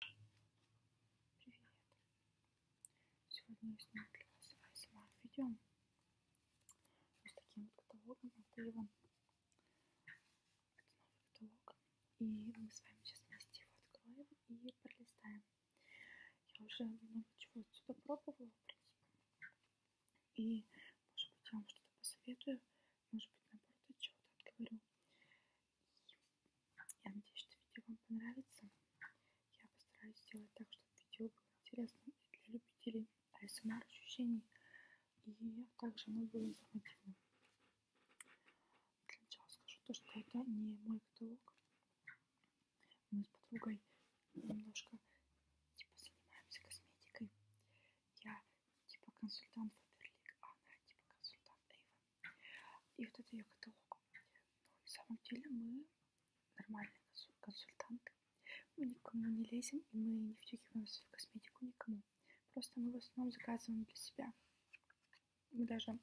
Привет! Сегодня я снял для вас ASMR видео с таким вот каталогом от Эйвен. Это новый каталог. И мы с вами сейчас вместе его откроем и пролистаем. Я уже много чего отсюда пробовала, в принципе. И, может быть, я вам что-то посоветую, может быть, наоборот, от чего-то отговорю. И я надеюсь, что видео вам понравится. Я постараюсь сделать так, чтобы видео было интересным и для любителей ASMR ощущений. И также оно было информативным. Для начала скажу то, что это не мой каталог. Мы с подругой немножко типа занимаемся косметикой. Я типа консультант Фаберлик, а она типа консультант Эйвен. И вот это ее каталог. Но ну, на самом деле мы нормальные консультанты. Мы никому не лезем, и мы не втюхиваем свою косметику никому. Просто мы в основном заказываем для себя. Мы даже...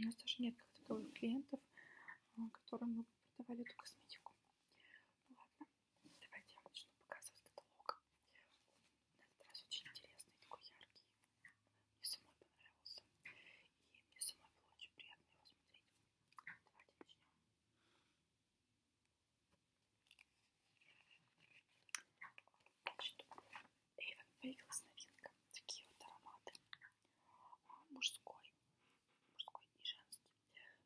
У нас даже нет готовых клиентов, а, которым мы продавали эту косметику. Ну ладно, давайте я вам начну показывать каталог. На этот раз очень интересный, такой яркий. Мне самой понравился. И мне самой было очень приятно его смотреть. Давайте начнем. Значит, Эйвен появилась новинка. Такие вот ароматы. А, мужской. Мужской и женский.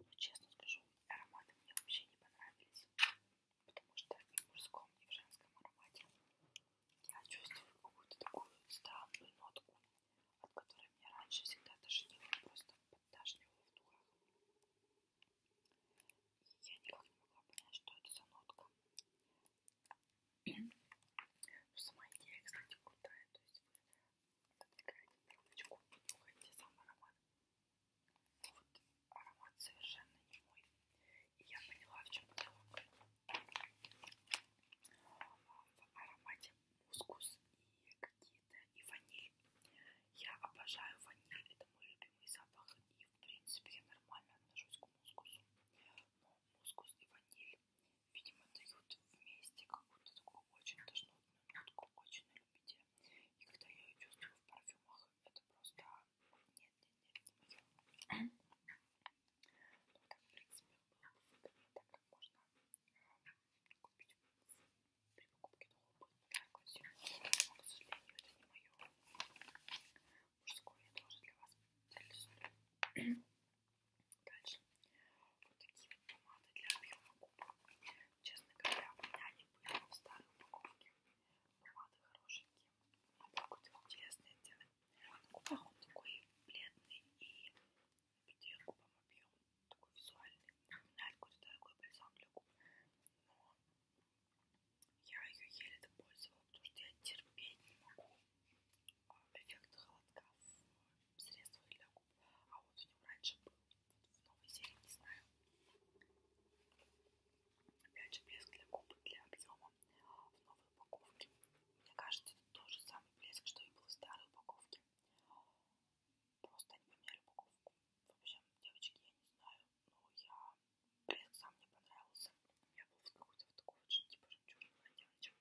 Но ну, честно скажу, ароматы мне вообще не понравились потому что ни в мужском, ни в женском аромате я чувствую какую-то такую странную нотку, от которой меня раньше всегда тошнило, просто подташнивало в духах. И я никак не могла понять, что это за нотка. Но сама идея, кстати, крутая, то есть вы отодвигаете трубочку и нюхаете сам аромат. Вот аромат совершенно не мой. И я поняла, в чем дело. В аромате мускус и какие-то и ваниль. Я обожаю ваниль, это мой любимый запах. И в принципе я нормально отношусь к мускусу. Но мускус и ваниль, видимо, дают вместе какую-то такую очень тошнотную нотку, ну, очень на любителя. И когда я ее чувствую в парфюмах, это просто нет-нет-нет, а, не мое. Ну, так, в принципе, было бы выгодно, так как можно а, купить при покупке нового пыльника. Но, к сожалению, это не мое. Мужское я тоже для вас реализую. Дальше. Вот такие вот помады для объема губ. Честно говоря, у меня они были в старой упаковке. Помады хорошенькие. Такой вот интересный оттенок. На губах он такой бледный и где губам объем такой визуальный. Напоминает какой-то дорогой бальзам для губ. Но я ее еле допользовала, потому что я терпеть не могу а, эффект холодка в средствах для губ. А вот в нем раньше был. В новой серии не знаю. Опять же блеск для губ, для объема в новой упаковке. Мне кажется, это тот же самый блеск, что и был в старой упаковке. Просто они поменяли упаковку. В общем, девочки, я не знаю, но я блеск сам мне понравился. Я был какой-то вот такой вот типа жемчужного девочек.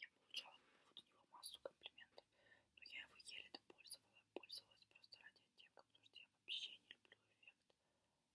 Я получала от него массу комплиментов, но я его еле допользовала. Пользовалась просто ради оттенка, потому что я вообще не люблю эффект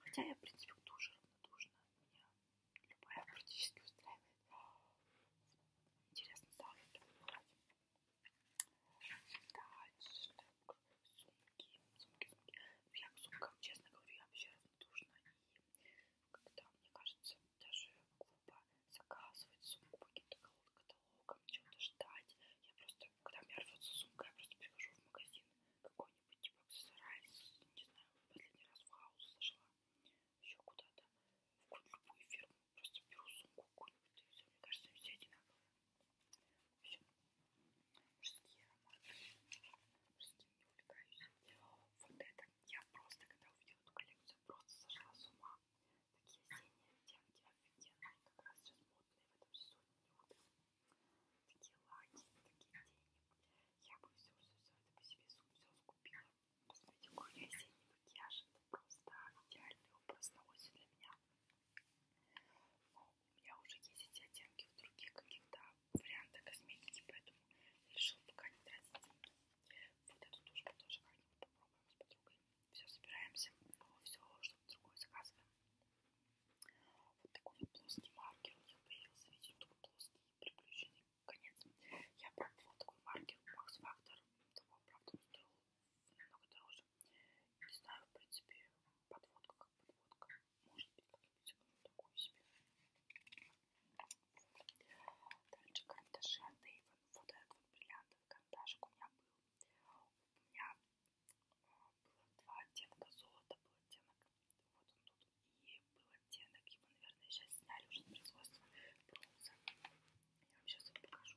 Хотя я, в принципе, кто уже равнодушна. Меня любая практически устраивает. Интересно, завтра покупать. Дальше. Так, сумки. Сумки, сумки. Я к сумкам, честно говорю, я вообще равнодушна. И когда, мне кажется, даже глупо заказывать сумку по каким-то каталогам, чего-то ждать. Я просто когда у меня рвется сумка, я просто прихожу в магазин какой-нибудь, типа аксессуарайз, не знаю, последний раз в хаус зашла, еще куда-то, в какую-то любую фирму, просто беру сумку какую-нибудь, и все, мне кажется, они все одинаковые. Все. Мужские ароматы. Мужским не увлекаюсь. Вот это я просто, когда увидела эту коллекцию, просто сошла с ума. Такие осенние оттенки, офигенные, как раз сейчас модные в этом сезоне, не утром такие лаки, такие тени. Я бы все, все, все это по себе все скупила. Господи, какой осенний макияж, это просто идеальный образ на осень для меня. Но у меня уже есть эти оттенки в других каких-то вариантах косметики, поэтому решила пока не тратить деньги. Вот эту тушь мы тоже как-нибудь попробуем с подругой. Все, собираемся, но все, что-то другое заказываем. Вот такой вот плоский маркер. У них появился, видите, такой плоский, приключенный конец. Я пробовала такой маркер Max Factor. Того, правда, он стоил намного дороже. Не знаю, в принципе, подводка как подводка. Может быть, как-нибудь такую себе. Дальше карандаши от Avon. Вот этот вот бриллиантовый карандашик у меня был. У меня было два оттенка золота, был оттенок, вот он тут, и был оттенок, его, наверное, сейчас сняли уже с производства бронза. Я вам сейчас его покажу.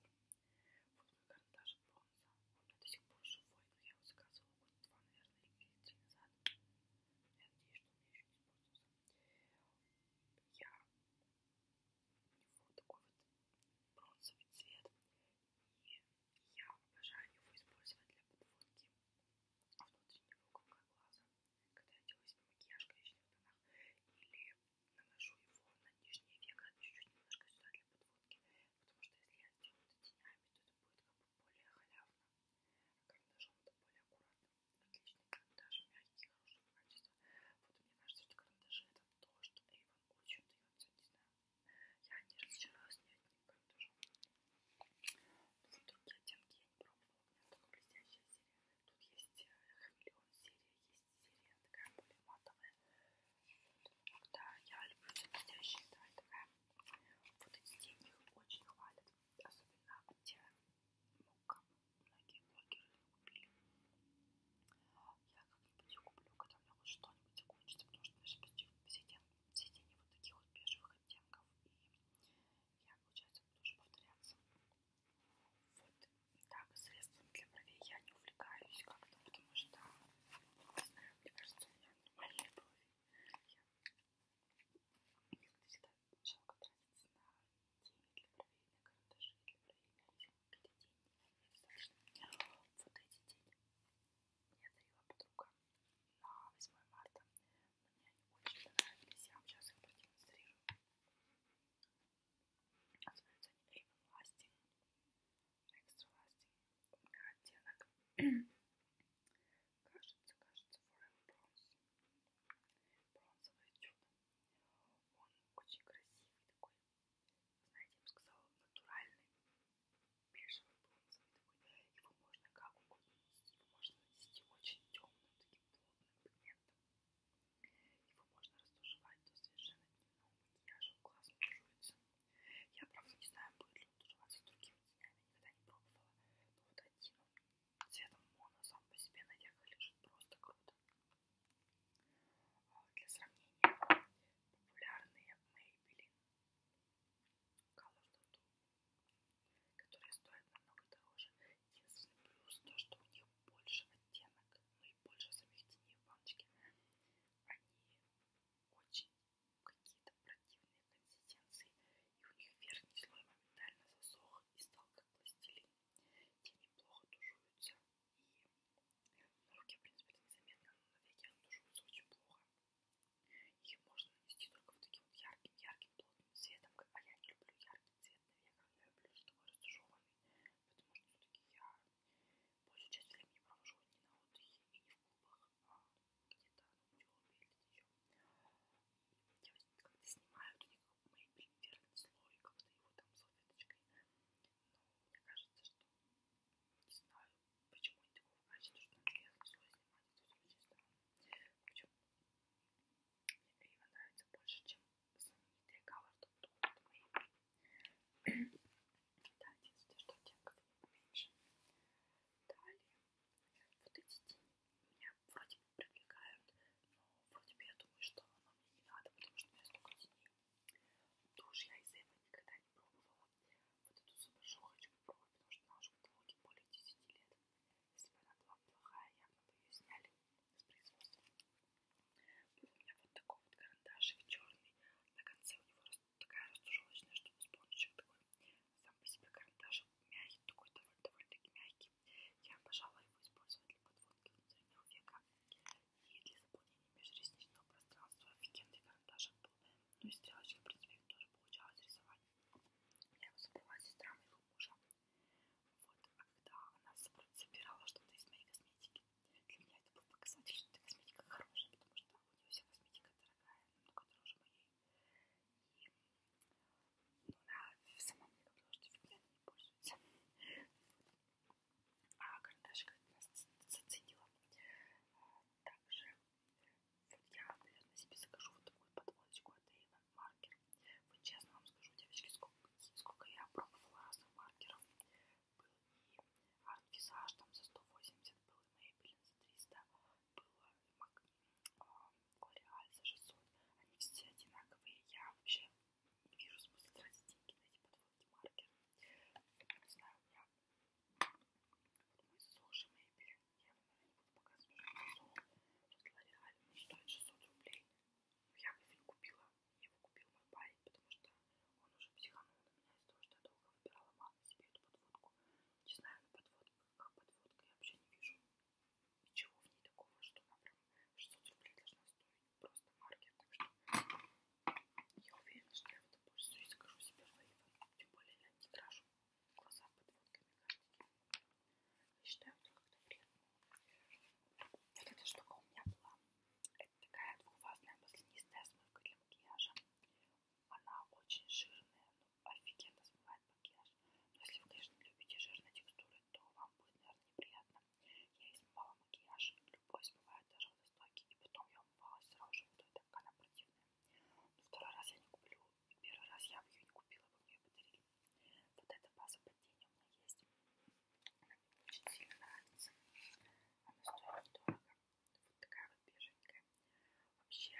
Вот мой карандаш бронза, он у меня до сих пор живой, но я его заказывала год два, наверное, или три назад. Я надеюсь, что он еще не используется. Я у него такой вот бронзовый цвет, и я обожаю его использовать для подводки внутреннего уголка глаза, когда я делаю себе макияж в коричневых тонах, или наношу его на нижнее веко чуть-чуть немножко сюда для подводки, потому что если я сделаю это тенями, то это будет как бы более халявно, а карандашом это более аккуратно. Отличный карандаш, мягкий, хорошего качества. Вот мне кажется, что карандаши это то, что Эйвен очень дается, не знаю. Я не разочаровалась, нет, никак тоже. Но вот другие оттенки я не пробовала. У меня такая блестящая серия. Тут есть э, хамелеон серия, есть серия такая более матовая. Вот, да, я люблю все блестящие, да, такая. Вот эти деньги очень хвалят. Особенно где мука. Многие блогеры купили я как-нибудь куплю, когда у меня хоть что-нибудь закончится, потому что даже почти все день, все день вот таких вот бежевых оттенков, и я, получается, буду уже повторяться. Вот так, средствами для бровей я не увлекаюсь как-то, потому что, не знаю, мне кажется, у меня нормальные брови. Я как-то всегда сначала тратиться на тени для бровей, на карандаши для бровей, на это день, достаточно. Вот эти день мне дарила подруга на 8 марта. Мне они очень понравились, я вам сейчас их продемонстрирую. Называются они Avon Lasting, Extra Lasting. У меня оттенок, кажется, кажется, Forever Bronze. Бронзовое чудо. Он очень красивый такой. Знаете, я бы сказала, натуральный бежевый бронзовый такой. Его можно как угодно нанести. Его можно нанести очень темным, таким плотным пигментом. Его можно растушевать до совершенно дневного макияжа. Он классно тушуется. Я, правда, не знаю, будет ли он тушеваться с другими тенями. Никогда не пробовала. Но вот один он цветом моно сам по себе на века лежит просто круто. А для сравнения, популярные мои Maybelline Color Tattoo, которые стоят намного дороже. Единственный плюс то, что у них больше оттенок, ну и больше самих теней в баночке. Они очень какие-то противные консистенции, и у них верхний слой моментально засох и стал как пластилин. Те неплохо тушуются, и на руке, в принципе, это незаметно, но на веке оно тушуется очень плохо. Их можно нанести только вот таким вот ярким-ярким плотным цветом, а я не люблю яркий цвет на веках, я люблю такой растушеванный, потому что все-таки я большую часть времени провожу не на отдыхе и не в клубах, а где-то на ну, учебе или где-то еще. Я как-то снимаю, у них мейбель верхний слой, как-то его там салфеточкой но ну, мне кажется, что не знаю, почему они такого качества, что мне слой снимать это очень странно. Причем мне Эйва нравится больше, чем знаменитые каверты, потому что мои. Да, единственное, что оттенков меньше. Далее, вот эти тени меня вроде бы привлекают, но вроде бы я думаю, что оно мне не надо, потому что у меня столько теней Душ я из этого никогда не пробовала. Вот эту супершоу хочу попробовать, потому что она уже в каталоге более 10 лет. Если бы она была плохая, явно бы ее сняли с производства. Был у меня вот такой вот карандашик черный. На конце у него такая растужелочная штука, спонжик такой. Сам по себе карандашик мягкий, такой довольно-таки мягкий. Я, пожалуй, его использовать для подводки внутреннего века. И для заполнения межресничного пространства офигенный карандаш был. Ну и стрелочки, в принципе, тоже получалось рисовать. Я его забрала сестра моего мужа. Вот, а когда она собирала что-то из моей косметики, для меня это был показатель, что эта косметика хорошая, потому что у нее вся косметика дорогая, намного дороже моей. И ну, она сама мне говорила, что фигня не пользуется. А карандашик заценила. А, также вот я, наверное, себе закажу вот такую подводочку от Avon маркер. Вот честно вам скажу, девочки, сколько, сколько я пробовала разных маркеров. Был и Art Visage там за 180, был и Maybelline за 300, был а, L'Oreal за 600. Они все одинаковые. Я вообще не вижу смысла тратить деньги на эти подводки маркер. Не знаю, у меня мой суши Мэйбери. Я, наверное, не буду показывать, что это Просто реально стоит 600 рублей. Но ну, я его купила. Его купил мой парень, потому что он уже психанул на меня из-за того, что я долго выбирала мало себе эту подводку. Не знаю, но подводка, как подводка, я вообще не вижу ничего в ней такого, что она прям 600 рублей должна стоить просто маркер, так что я уверена, что я в этом пользуюсь, скажу себе лейвом, тем более я не тражу глаза подводками картинки. Я считаю это как-то вредно. Вот эта штука у меня была. Это такая двухвазная маслянистая смывка для макияжа. Она очень жирная, но ну, офигенно смывает макияж. Но если вы, конечно, любите жирные текстуры, то вам будет, наверное, неприятно. Я и смывала макияж, любой смывает даже водостойкий, и потом я покупалась сразу же, то и так она противная. Но второй раз я не куплю, первый раз я бы ее не купила, бы мне ее подарили. Вот эта база под тени у меня есть. Она мне очень сильно нравится. Она стоит недорого. Вот такая вот беженькая. Вообще,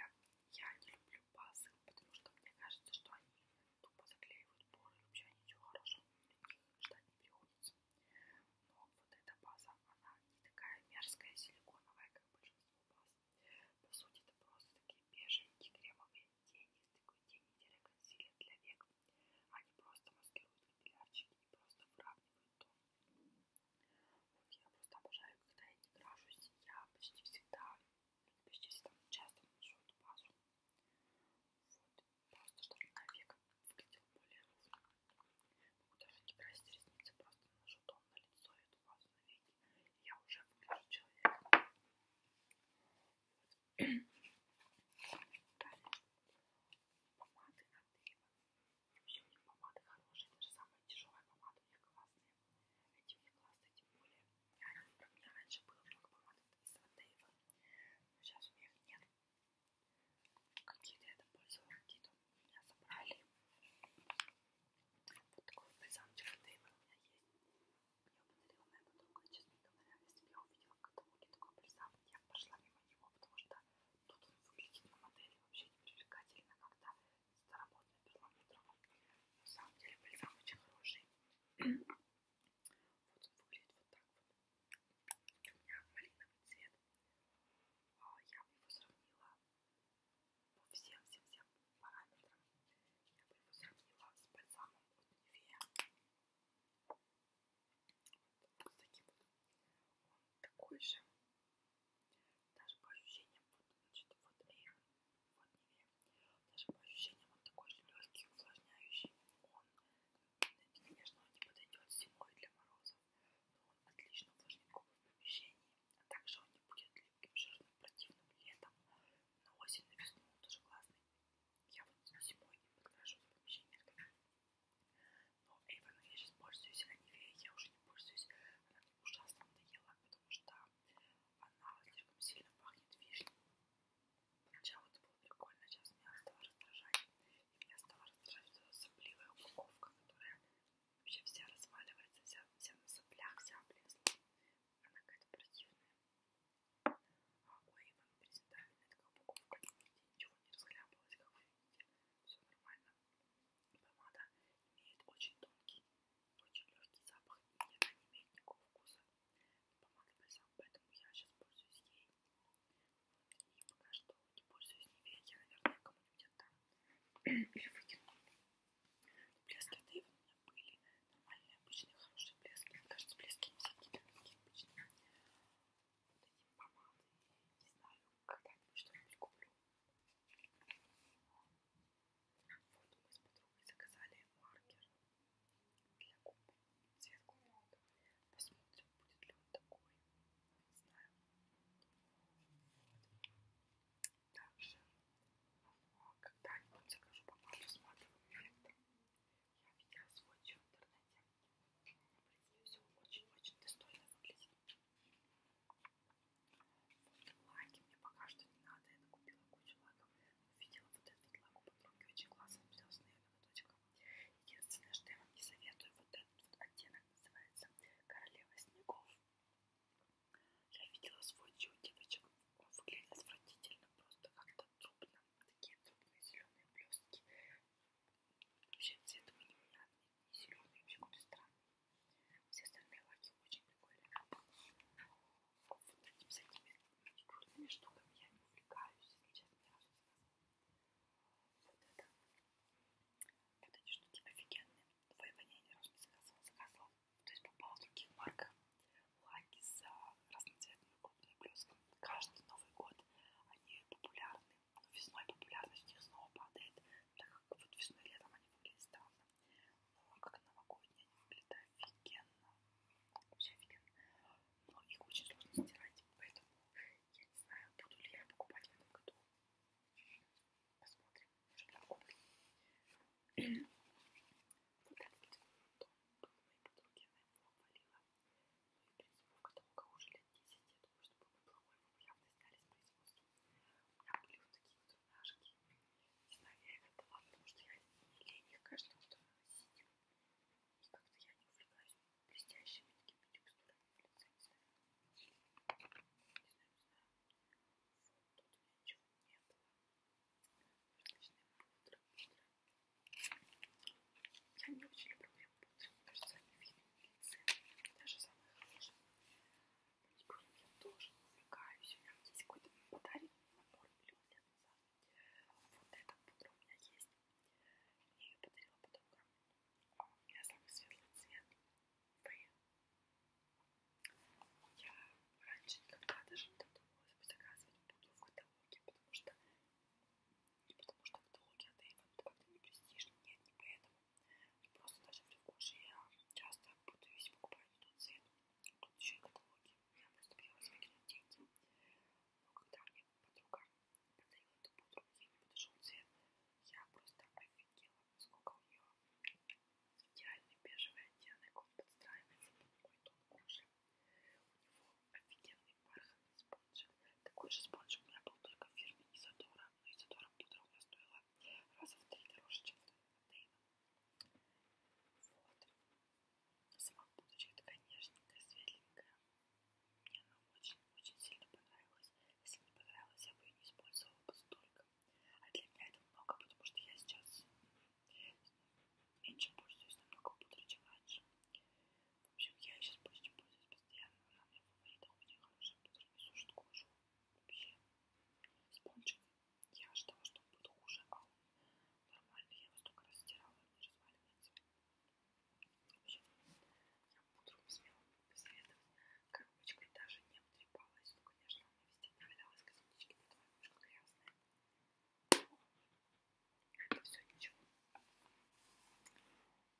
я не люблю базы, потому что мне кажется, что они тупо заклеивают поры. Вообще ничего хорошего ждать не приходится. Но вот эта база, она не такая мерзкая, силиконовая, как большинство баз. По сути, это просто такие беженькие кремовые тени, такой тени консилер для век. Они просто маскируют капиллярчики и просто выравнивают тон. Вот я просто обожаю, когда я не крашусь, я почти всегда, почти всегда часто наношу эту базу. Вот, просто чтобы навек выглядел более ровно. Могу даже не красить ресницы, просто наношу тон на лицо и эту базу на веки, и я уже выгляжу человеком. Далее. Помады от Эйва. Вообще у них помады хорошие, даже самая тяжелая помада у них классная. Эти у них классные, тем более. А у меня раньше было много помад из от Эйва, но сейчас у меня их нет. Какие-то я там пользовала, какие-то у меня забрали. Вот такой бальзам Джеффа Дейва у меня есть. Мне его подарила моя подруга, честно говоря. Если бы я увидела каталоги такой бальзам, я пошла мимо него, потому что тут он выглядит на модели вообще не привлекательно, когда старомодный перламутровый. На самом деле бальзам очень хороший. Вот он выглядит вот так вот у меня малиновый цвет. А, я бы его сравнила по всем-всем-всем параметрам. Я бы его сравнила с бальзамом от Нивея. Вот, вот с таким вот. Он такой же. Даже по ощущениям, вот, значит, вот Эйвен, вот Нивея. Даже по ощущениям он такой же легкий, увлажняющий. Он Конечно, он не подойдет зимой для морозов, но ну, он отлично увлажнит губы в помещении, а также он не будет липким, жирным, противным летом, на осень, на весну он тоже классный. Я вот зимой не подкрашу в помещении. Но Эйвоном я сейчас пользуюсь, а Нивеей я уже не пользуюсь, она мне ужасно надоела, потому что она слишком сильно пахнет вишней. Сначала это было прикольно, а сейчас меня стало раздражать. И меня стала раздражать эта сопливая упаковка, которая вообще вся разваливается, вся, вся на соплях, вся облезла. Она какая-то противная. А ой, вам презентабельная такая упаковка. Ничего не разхлябалось, как вы видите. Все нормально. Помада имеет очень тонкий, очень легкий запах. И она не имеет никакого вкуса. Помада бальзам, поэтому я сейчас пользуюсь ей. И пока что не пользуюсь ними, я, наверное, кому-нибудь отдам. Или выкину. Блески от Эйвен у меня были нормальные, обычные, хорошие блески. Мне кажется, блески не всякие такие обычные. Вот эти помады, не знаю, когда-нибудь что-нибудь куплю. Вот мы с подругой заказали маркер для губ цвет клубника. Посмотрим, будет ли он такой. Не знаю. Вот. Также, когда-нибудь закажу помаду с матовым эффектом. Я видела свой чай в интернете. Все очень-очень достойно выглядит. Лаки мне пока что не надо. Я купила кучу лаков. Видела вот этот лак у подруги. Очень классный. Плюс, наверное, вот точка Единственное, что я вам не советую, вот этот вот оттенок называется «Королева снегов». Я видела свой чудевочек, он выглядит отвратительно, просто как-то трубно, такие трубные зеленые блестки. Вообще цвет у него непонятный, не зеленый, вообще какой-то странный. Все остальные лаки очень прикольные. Вот этими всякими крутыми штуками я не увлекаюсь, если честно, я вот это. Вот эти штуки офигенные. Воевание я ни разу не заказывала. Заказывала, то есть попала в других марках. Лаки с а, разноцветными крупными блесками. Каждый Новый год они популярны. Но ну, весной популярность их снова падает, так как вот весной и летом они выглядят странно. Но ну, а как новогодние они выглядят офигенно. Вообще офигенно. Но их очень сложно стирать, поэтому я не знаю, буду ли я покупать в этом году. Посмотрим. Может быть, куплю. Когда-нибудь дом был моей подруги, она его хвалила. Ну и, в принципе, Вовка того, кого уже лет 10, я думаю, что был неплохой, его явно сняли с производства. У меня были вот такие вот трунашки. Не знаю, я их отдала, потому что я не лень их каждого, что она сидит. И как-то я не увлекаюсь блестящими такими текстурами на лице, не знаю. Не знаю, не знаю. Вот тут ничего не было. Различные пудры, пудры. Я не очень люблю прям пудры, мне кажется, они видны на лице. Даже самые хорошие. Маникюром я тоже увлекаюсь. У меня есть какой-то подарок на морг миллион лет назад. Вот эта пудра у меня есть. Я ее подарила подруга. А у меня самый светлый цвет. Фей. Я раньше никогда даже не додумалась заказывать буду в каталоге, потому что не потому что каталоги от Эйвен как-то не престижно, нет, не поэтому. И просто даже в Рикоше я часто путаюсь покупать не тот цвет, тут еще и каталоги. Я просто боялась выкинуть деньги. Но когда мне подруга когда я эту пудру, ей не подошел цвет. Я просто офигела, сколько у нее идеальный бежевый оттенок, он подстраивается под мой тон кожи. У него офигенный бархатный спонж. Такой же спонж у меня был только в фирме Изодора, но Изодора пудра у меня стоила раза в три дороже, чем Дейна. Вот. Сама пудрочка такая нежненькая, светленькая. Мне она очень-очень сильно понравилась. Если бы не понравилась, я бы ее не использовала бы столько. А для меня это много, потому что я сейчас меньше пользуюсь, намного пудры, чем раньше. В общем, я ее сейчас почти пользуюсь постоянно. Она у меня в фаворитах, очень хорошая пудра, не сушит кожу. Вообще, спончик. Я ожидала, что он будет хуже, а он нормальный. Я его столько раз стирала, он не разваливается. Я утром успела посоветовать. Коробочка даже не обтрепалась. Ну, конечно, она везде навалялась, косметички на твою мышку грязная. Это все ничего.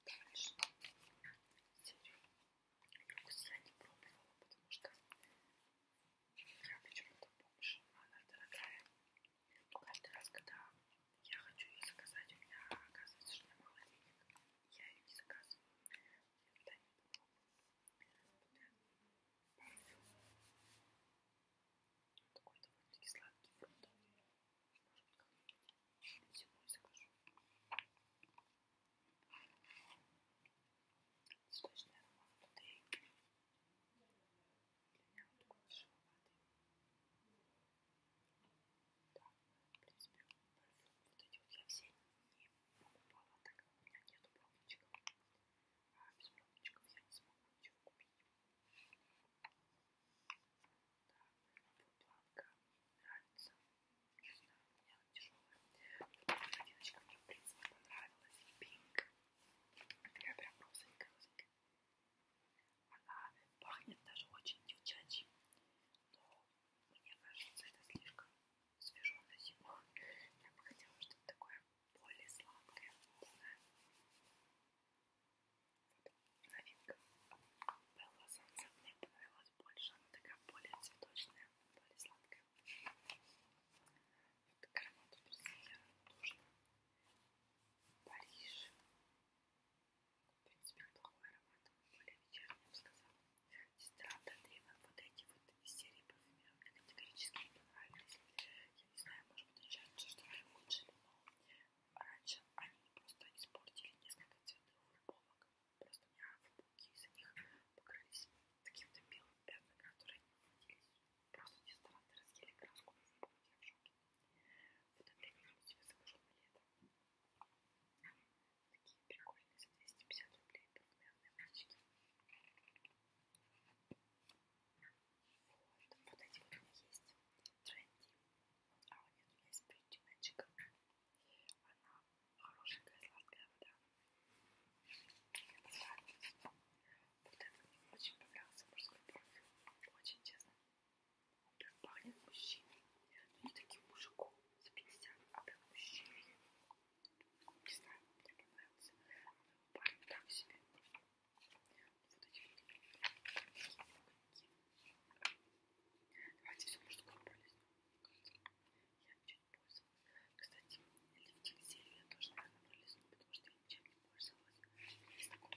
Дальше. Серию. Люкс я не пробовала, потому что я почему-то помню, она дорогая. Но ну, каждый раз, когда я хочу ее заказать, у меня оказывается, что я мало денег. Я ее не заказываю. Я не Такой довольно-таки сладкий фруктовый. Может быть, зимой закажу. Сочный аромат воды. Для меня он такой тяжеловатый. Да, в принципе, парфюм вот эти вот я все не покупала, так как у меня нету пробничков. А без пробничков я не смогу ничего купить. Да, планка нравится. Не знаю, у меня она тяжелая. Вот одиночка мне, в принципе, понравилась. Пинг. Такая прям розовенькая, розовенькая. Она пахнет даже очень девчачьей, но мне кажется, это слишком свежо на зиму. Я бы хотела что-то такое более сладкое, вкусное. Вот, новинка. Белла Санса мне понравилась больше, она такая более цветочная, более сладкая. Вот гранату Персия нужно. Париж. В принципе, неплохой аромат, более вечерний, я бы сказала. Дезодоранты от Rimmel, вот эти вот из серии парфюмеров мне категорически не понравились. Я не знаю, может быть, сейчас что они улучшили, но раньше они просто испортили несколько цветных футболок. Просто у меня футболки из-за них покрылись каким-то белым пятнами, которые не выводились. Просто дезодоранты разъели краску, я в шоке. Потом я вернул себе закажу на лето. Такие прикольные за 250 рублей двухмерные мальчики. Вот, вот эти вот у меня есть. Тренди. А вот нет, у меня есть Pretty Magic. Она хорошенькая, сладкая вода. Мне понравилась. Вот этот мне очень понравился мужской парфюм. Очень честно. Парень мужчина, не таким мужиком за 50, а прям мужчина. Не знаю, мне понравился. А парень так себе. Вот эти вот Давайте все мужское полезно. Я ничем не пользовалась. Кстати, лифтинг серии я тоже, наверное, пролезну, потому что я ничем не пользовалась. Из такого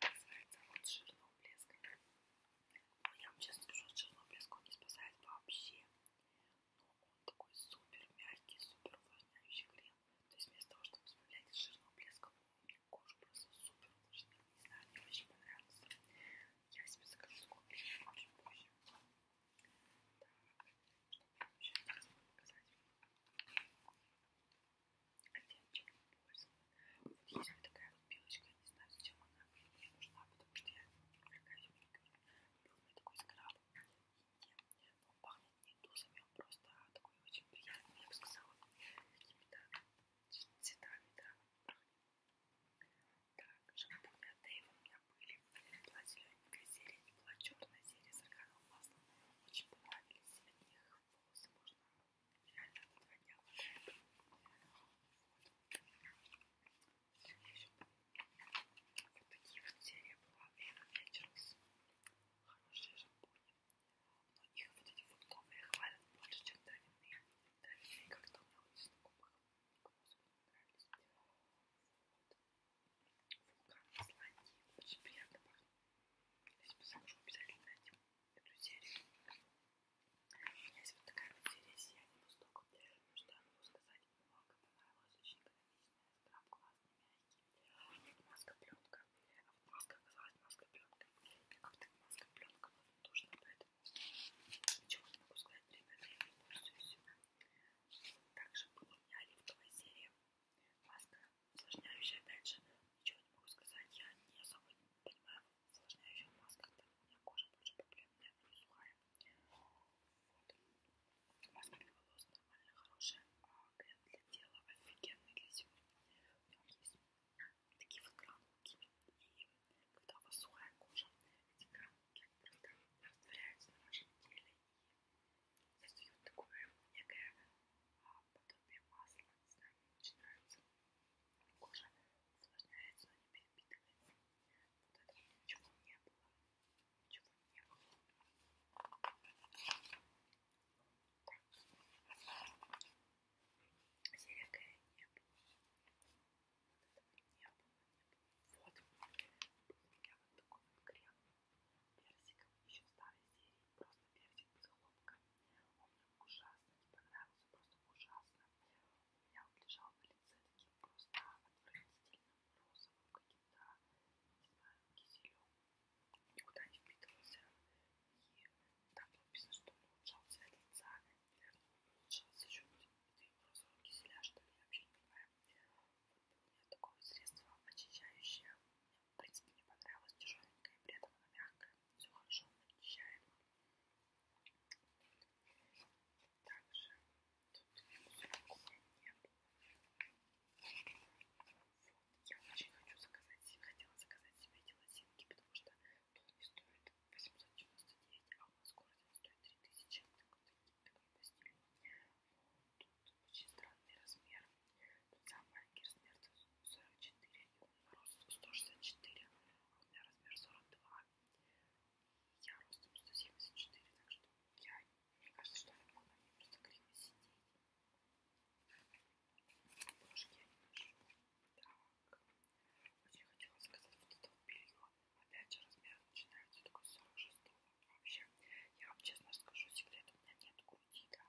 спасается от жирного блеска. Но я вам сейчас скажу, от жирного блеска он не спасает вообще. Но он такой супер мягкий, супер увлажняющий крем. То есть вместо того, чтобы избавлять от жирного блеска, он кожу просто супер увлажняет. Не знаю, мне очень понравился. Я себе закажу такой крем очень позже. Так, что еще раз показать? оттеночек не пользовала. Вот есть вот такая вот белочка, я не знаю, зачем она мне нужна, потому что я увлекаюсь маникюром. Был у меня такой скраб, он пахнет не тузами, он просто такой очень приятный, я бы сказала, какими-то цветами, да, так, шампунь от Дэйва у меня были. Была зелененькая серия, не была черная серия с органовым маслом. Очень понравились от них волосы, можно реально два дня лежит. Вот. вот такие вот серии была Эйвен Вечерс. Хорошие шампуни. Но их вот эти фруктовые хвалят больше, чем травяные. Травяные как-то у меня вот знакомых никому особо не нравились. Вот. Вулкан Исландии. Очень приятно пахнет. Если бы захожу, обязательно найдем эту серию. У меня есть вот такая вот серия «Сияние пусток». Ну что я могу сказать? Много понравилось, очень экономичная, скраб классный, мягкий. Маска-пленка. А вот маска оказалась маска-пленка. Я как-то маска-пленка была нужна, поэтому ничего не могу сказать. Ребята, я не пользуюсь. Также была у меня оливковая серия. Маска усложняющая, опять же, ничего не могу сказать. Я не особо понимаю Сложняющих масках, там у меня кожа больше проблем нет, не сухая. Вот. Маска для волос нормально хорошая, а крем для тела офигенный для зимы. В нем есть такие вот гранулки, и когда у вас сухая кожа, эти гранулки просто растворяются на вашем теле и создают такое некое а, подобие масла, не знаю, мне очень нравится. Кожа увлажняется, но не перепитывается. Вот этого ничего не было. Ничего не было. Так. Серия Кэрри не было. Вот этого не было, не было. Вот. Был у меня вот такой вот крем персиковый, еще старой серии. Просто персик без хлопка. Он мне ужасно не понравился, просто ужасно. У меня вот лежал на лице таким просто отвратительным розовым каким-то, не знаю, киселем. Никуда не впитывался. И там написано, что он улучшался от лица. Наверное, он улучшался еще розового киселя, что ли, я вообще не понимаю. Вот у меня такое средство очищающее. Мне, в принципе, не понравилось, тяжеленькое, и при этом оно мягкое все хорошо очищаем. Также тут мусорку нет. Вот, я очень хочу заказать себе, хотела заказать себе эти лосинки, потому что тут не стоит 899, а у нас в городе он стоит 3000, такой, такой по стилю. Но тут очень странный размер, тут самый маленький размер, тут сорок четыре, и он рост сто шестьдесят четыре, а у меня размер сорок два, и я ростом сто семьдесят четыре, так что я, мне кажется, что я могу на ней просто криво сидеть. Брошки я не ношу. Так, очень хотела заказать вот это вот белье, опять же размер начинается только с 46-го, вообще, я вам честно расскажу секрет, у меня нет груди, да,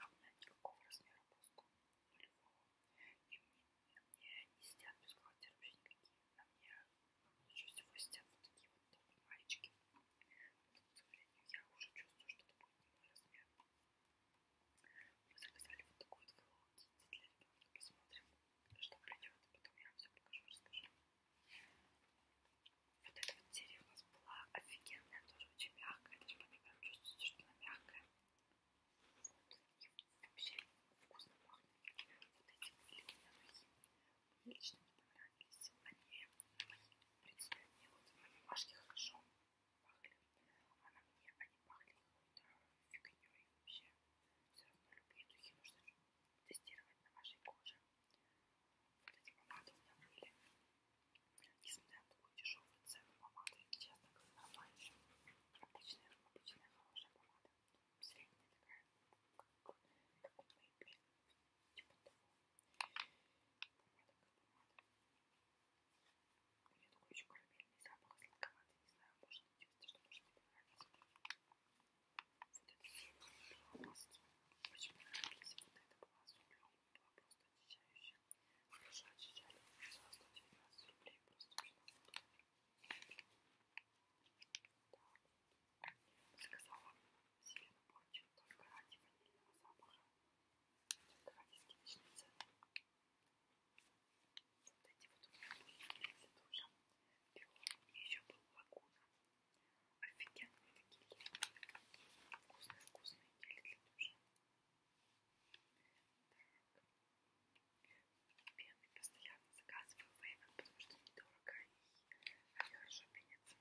она у меня никакого размера просто до Львова. И мне, мне не сидят без квартир вообще никакие. На мне лучше всего сидят вот такие вот топовые маечки. Но, к сожалению, я уже чувствую, что это будет не мой размер. Мы заказали вот такой вот Hello Kitty для ребенка. Посмотрим, что придет. Потом я вам все покажу, расскажу. Вот эта вот серия у нас была офигенная, тоже очень мягкая. Даже по мне прям чувствуется, что она мягкая. И вообще вкусно пахнет. Вот эти лимонные рухи мне лично не понравились. Они, в принципе, мне вот бумажки хорошо пахли, а на мне они пахли какой-то фигней вообще. Все равно любые духи нужно тестировать на вашей коже. Вот эти помады у меня были. Несмотря на такую дешевую цену, помада им часто казалась раньше. Обычная, обычная хорошая помада, средняя такая, как Maybelline, типа того. Помада как помада. У нее такой еще карамельный запах, сладковатый, не знаю, может быть, что может мне понравится. Вот это белые маски очень понравились, вот это была с углем, была просто очищающая. Хорошо очищали. За 119 рублей просто Да. Заказала себе наборчик только ради ванильного запаха. Только ради скидочной цены. Вот эти вот у меня были перед душем. И еще был лагуна. Офигенные такие гели. Вкусные-вкусные гели для душа. Белый постоянно заказываю вейвен, потому что недорого и они хорошо пенятся.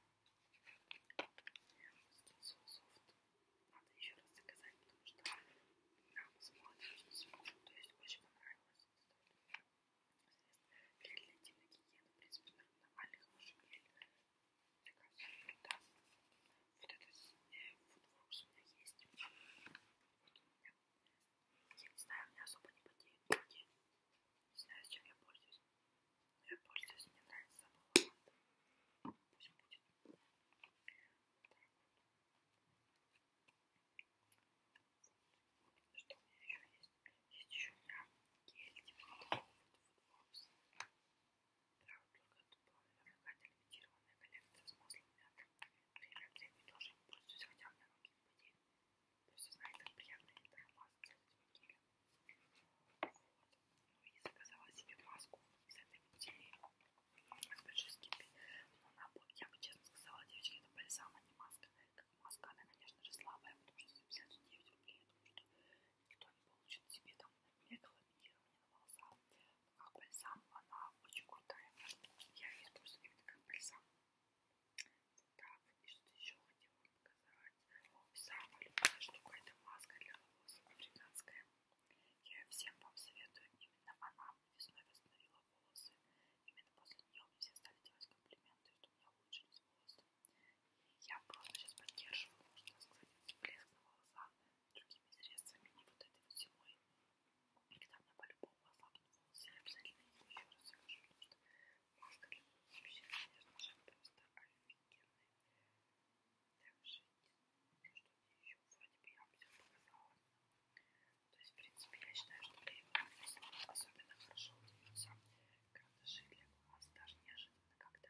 Скинзу софт надо еще раз заказать, потому что нам с молодежью не сможем, то есть очень понравилось. Для интимной гигиены, в принципе, нормальных машин заказываю, да. Вот этот э, футворкс у меня есть. А, вот у меня. Я не знаю, у меня особо не потеют руки. Не знаю, с чем я пользуюсь. Но я пользуюсь, мне нравится запах лаванды. Пусть будет. Вот вот, что у меня еще есть? Есть еще у меня гель, типа вот такой вот футворкс. Травы только какая-то лимитированная коллекция с маслом мяты. Время от времени тоже им пользуюсь, хотя у меня ноги не потеют. Просто знаю, как приятно это маску с гелем. Вот. Ну и заказала себе маску из этой бутилии. С большой скидкой. Но она, я бы честно сказала, девочки, это бальзам, а не маска. Как маска, она, конечно же, слабая, потому что за 59 рублей, я думаю, что никто не получит себе там мега ламинирование на волосах как бальзам, она очень крутая. Я ее использую именно как бальзам. Вот так, и что-то еще хотела вам показать. Самая любимая штука это маска для волос, африканская. Я всем вам советую, именно она весной восстановила волосы. Именно после нее все стали делать комплименты, что у меня улучшились волосы. И я просто сейчас поддерживаю, можно сказать, блеск на волосах другими средствами, не вот этой вот зимой. И когда мне по-любому ослабнут волосы, я обязательно их еще раз закажу, потому что маска для волос вообще, конечно же, просто офигенная. Так, жить. Ну, что мне еще? Вроде бы я вам все показала. То есть, в принципе, я считаю, что для его особенно хорошо удаются карандаши для глаз, даже неожиданно как-то.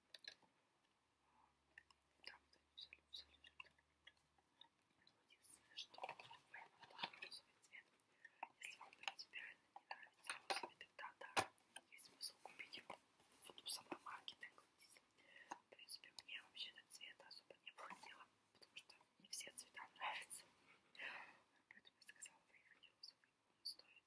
Там все, все лежит. Единственное, что пойму, это розовый цвет. Если вам принципиально не нравится розовый, тогда да, есть смысл купить его вот у самой марки, так говорится. В принципе, мне вообще этот цвет особо не было дела, потому что не все цвета нравятся. Поэтому я сказала, выиграть розовый. Он стоит